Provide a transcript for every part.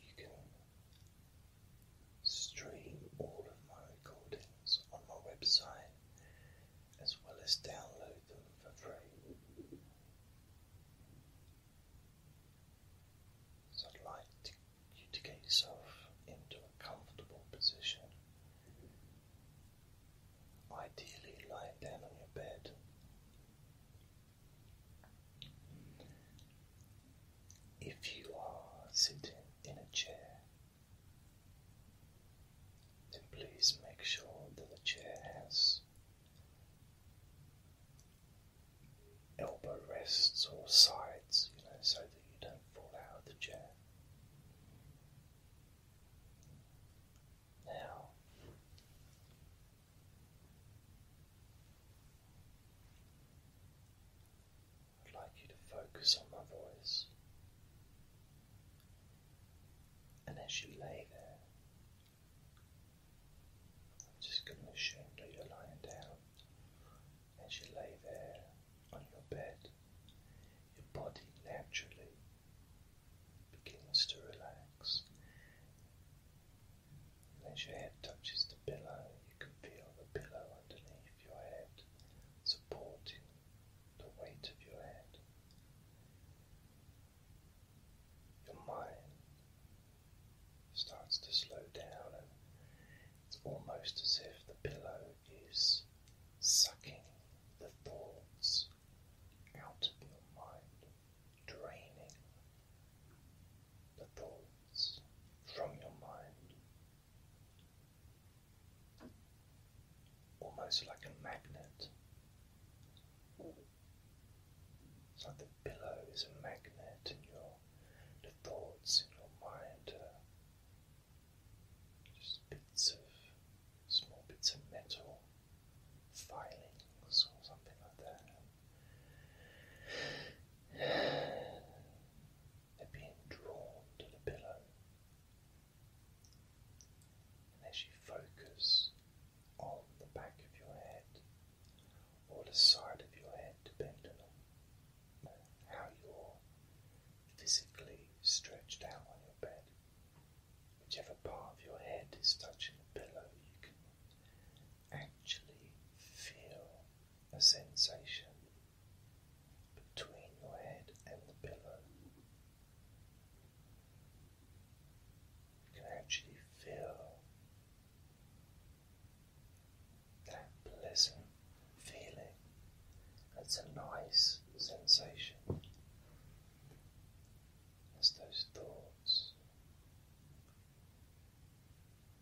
You can stream all of my recordings on my website as well as download them for free. So I'd like you to get yourself into a comfortable position. Ideally, lie down on your bed. If you are sitting in a chair, then please make sure that the chair has elbow rests or sides, you know, so that you don't fall out of the chair. Now, I'd like you to focus on my voice. And as you lay there, I'm just going to assume that you're lying down. As you lay there on your bed, your body naturally begins to relax as your head touches the pillow, you can feel the pillow underneath your head supporting the weight of your head. Your mind starts to slow down, and it's almost as if the pillow is sucking the thoughts out of your mind, draining the thoughts from your mind, almost like a magnet. It's like the pillow is a magnet, and your the thoughts in your mind are uh, just bits of small bits of metal filings or something like that. They're being drawn to the pillow. And as you focus on the back of your head or the side of your head, depending on how you're physically stretched out on your bed, whichever part of your head is touching the pillow, you can actually feel a sensation between your head and the pillow. You can actually feel that pleasant feeling. That's a nice sensation. As those thoughts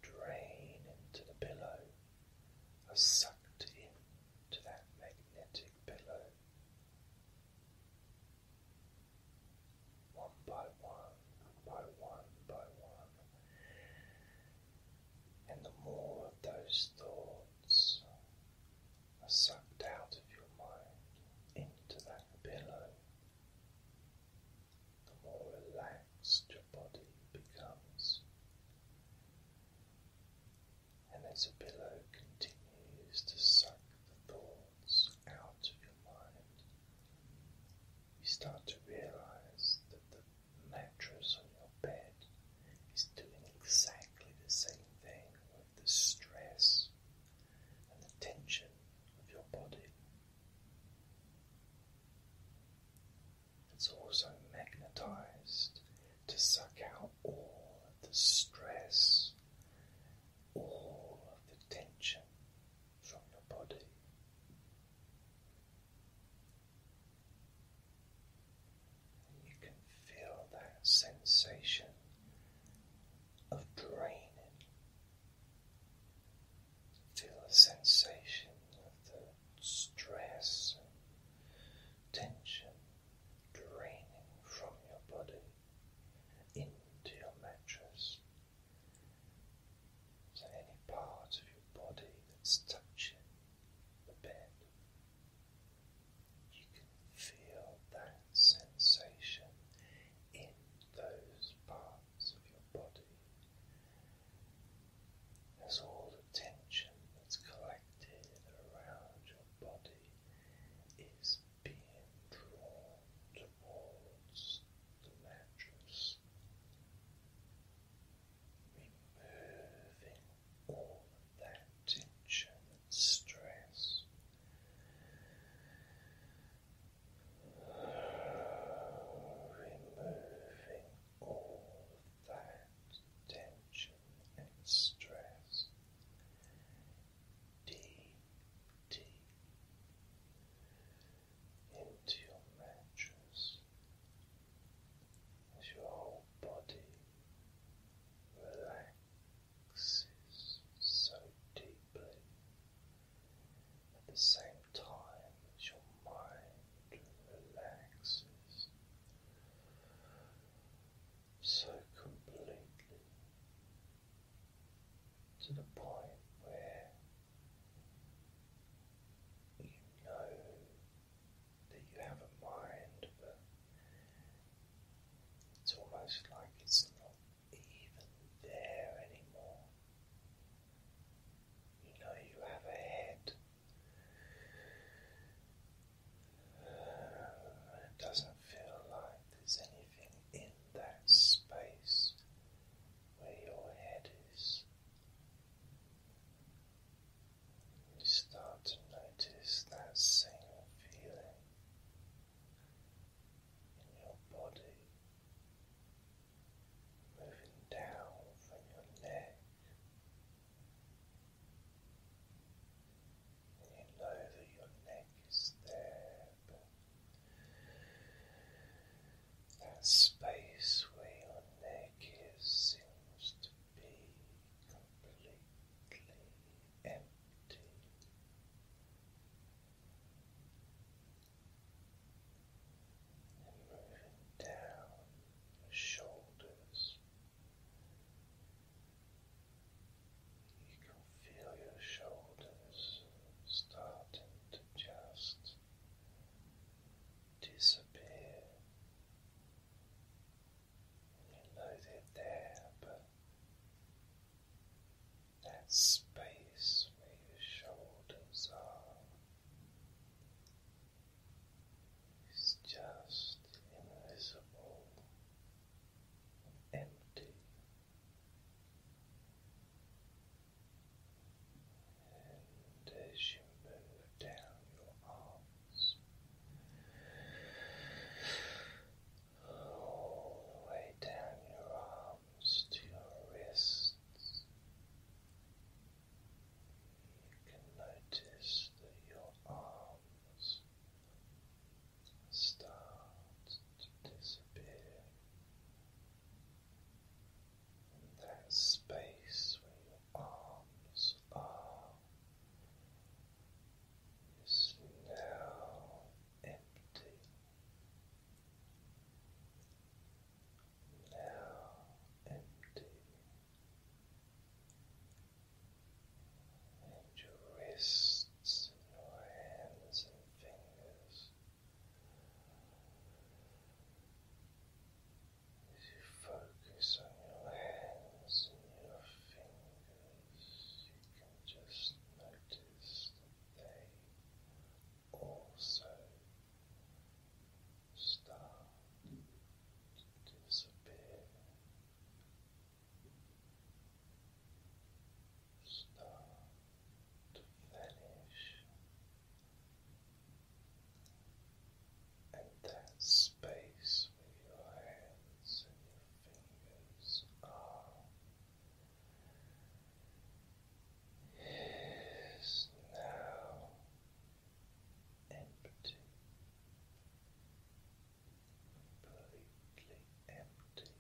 drain into the pillow, are sucked into that magnetic pillow. One by one, by one, by one. And the more of those thoughts are sucked out of your mind into that pillow, the more relaxed your body becomes. And as a pillow continues to suck the thoughts out of your mind, you start to realize that the mattress on your bed is doing exactly the same thing with the stress and the tension of your body. It's also magnetized to suck out all of the stress, all the tension from your body. you can feel that sensation of draining Feel the sensation of the stress and tension draining from your body into your mattress. So, any part of your body that's touching the bed, you can feel that sensation in those parts of your body as all the tension that's collected around your body is being drawn towards the mattress, removing all of that tension stress. Removing all that tension and stress. DT into your mattress as your whole body relaxes so deeply at the same time as your mind relaxes so completely to the point where you know that you have a mind, but it's almost like it's not even there anymore. You know you have a head, it doesn't feel like there's anything in that space where your head is. You start to notice that same feeling in your body moving down from your neck, and you your neck is there, that space where your neck seems to be completely empty. And moving down shoulders. You can feel your shoulders starting to just disappear. You know they're there, but that space where your shoulders are it's just invisible empty. And as you move down your arms all the way down your arms to your wrists, you can notice that your arms start to disappear. that space where your arms are is now empty. Now empty and your wrists and your hands and fingers as you focus on your hands and your fingers you can just notice they also start to disappear, start to vanish, and that space with your hands and your fingers are. Is now empty, completely empty.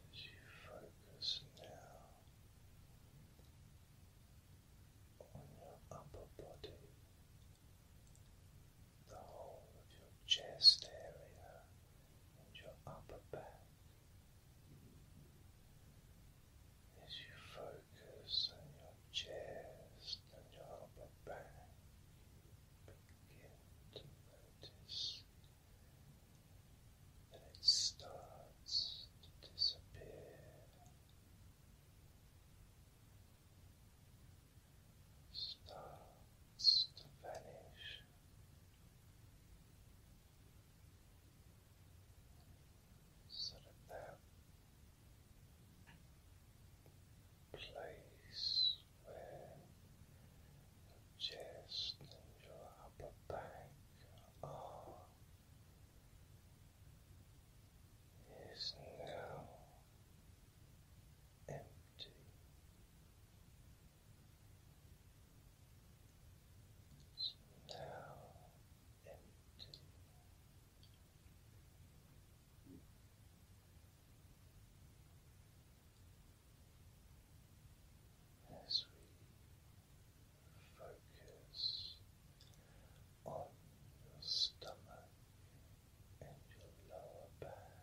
as you focus now on your upper body, the whole of your chest area and your upper back as you focus on your chest and your upper back. Begin to notice that it starts to disappear. Start starts to vanish. So that place where your chest and your upper back are is now empty. It's now empty. As we focus on your stomach and your lower back,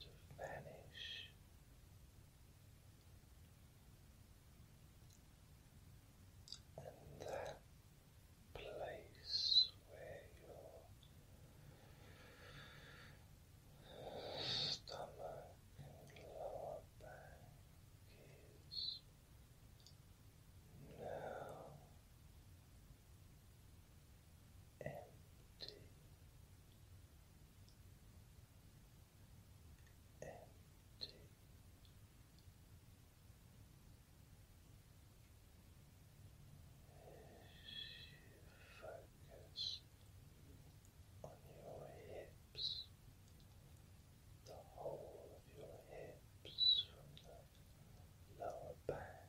to vanish. And that place where your stomach and lower back is now empty empty. Focus on your hips, the whole of your hips from the lower back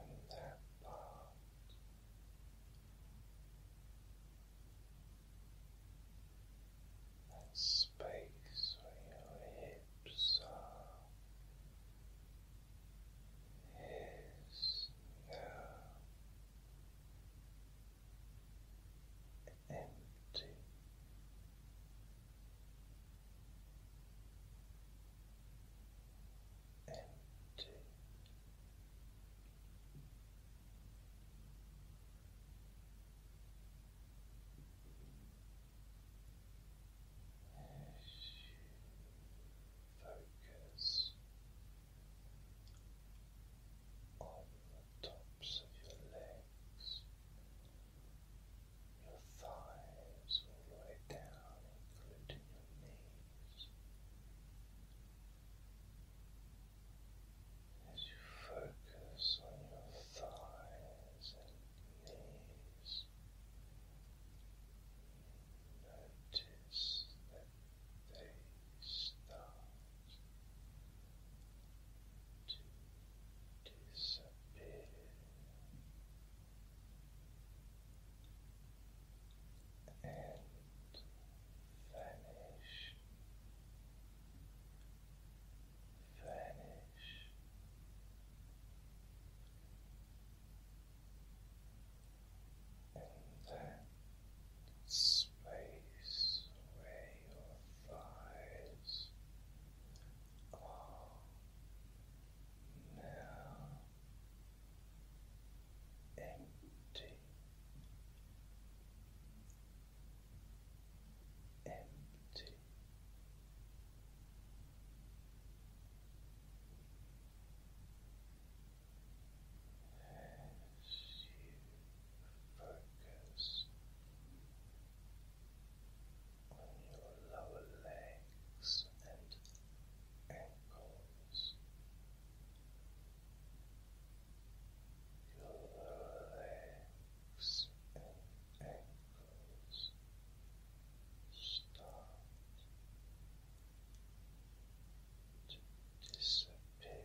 and that part. That space where your hips are is now empty empty. As you focus on the tops of your legs your thighs all the way down, including your knees, as you focus on your thighs and knees. Notice that they start to disappear and vanish, vanish. And that space where your thighs are now empty, empty. As you focus on your lower legs and ankles. Your legs and ankles start to disappear.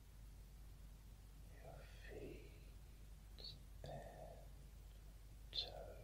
your feet and toes start to disappear.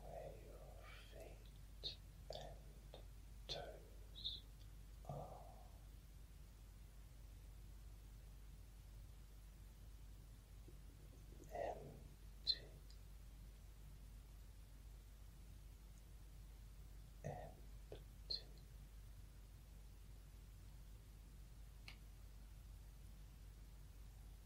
where your feet and toes are. Empty, empty.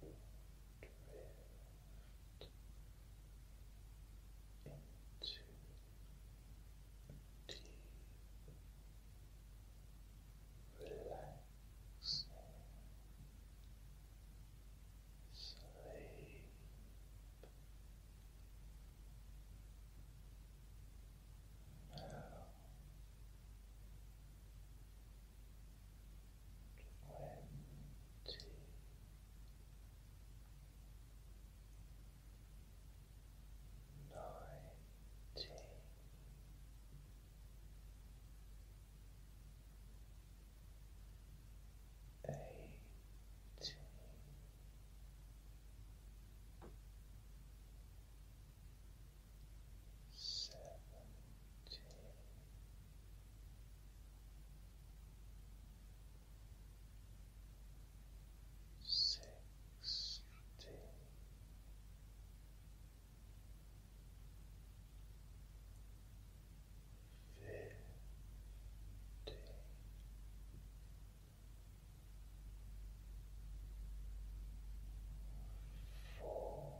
into deep relaxing sleep twenty. Nineteen, eighteen, seventeen. Sixteen,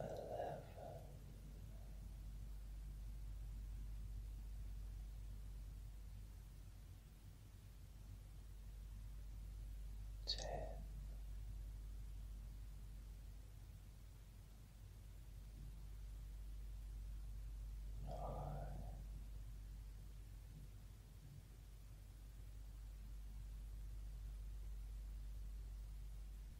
eleven. Ten, nine,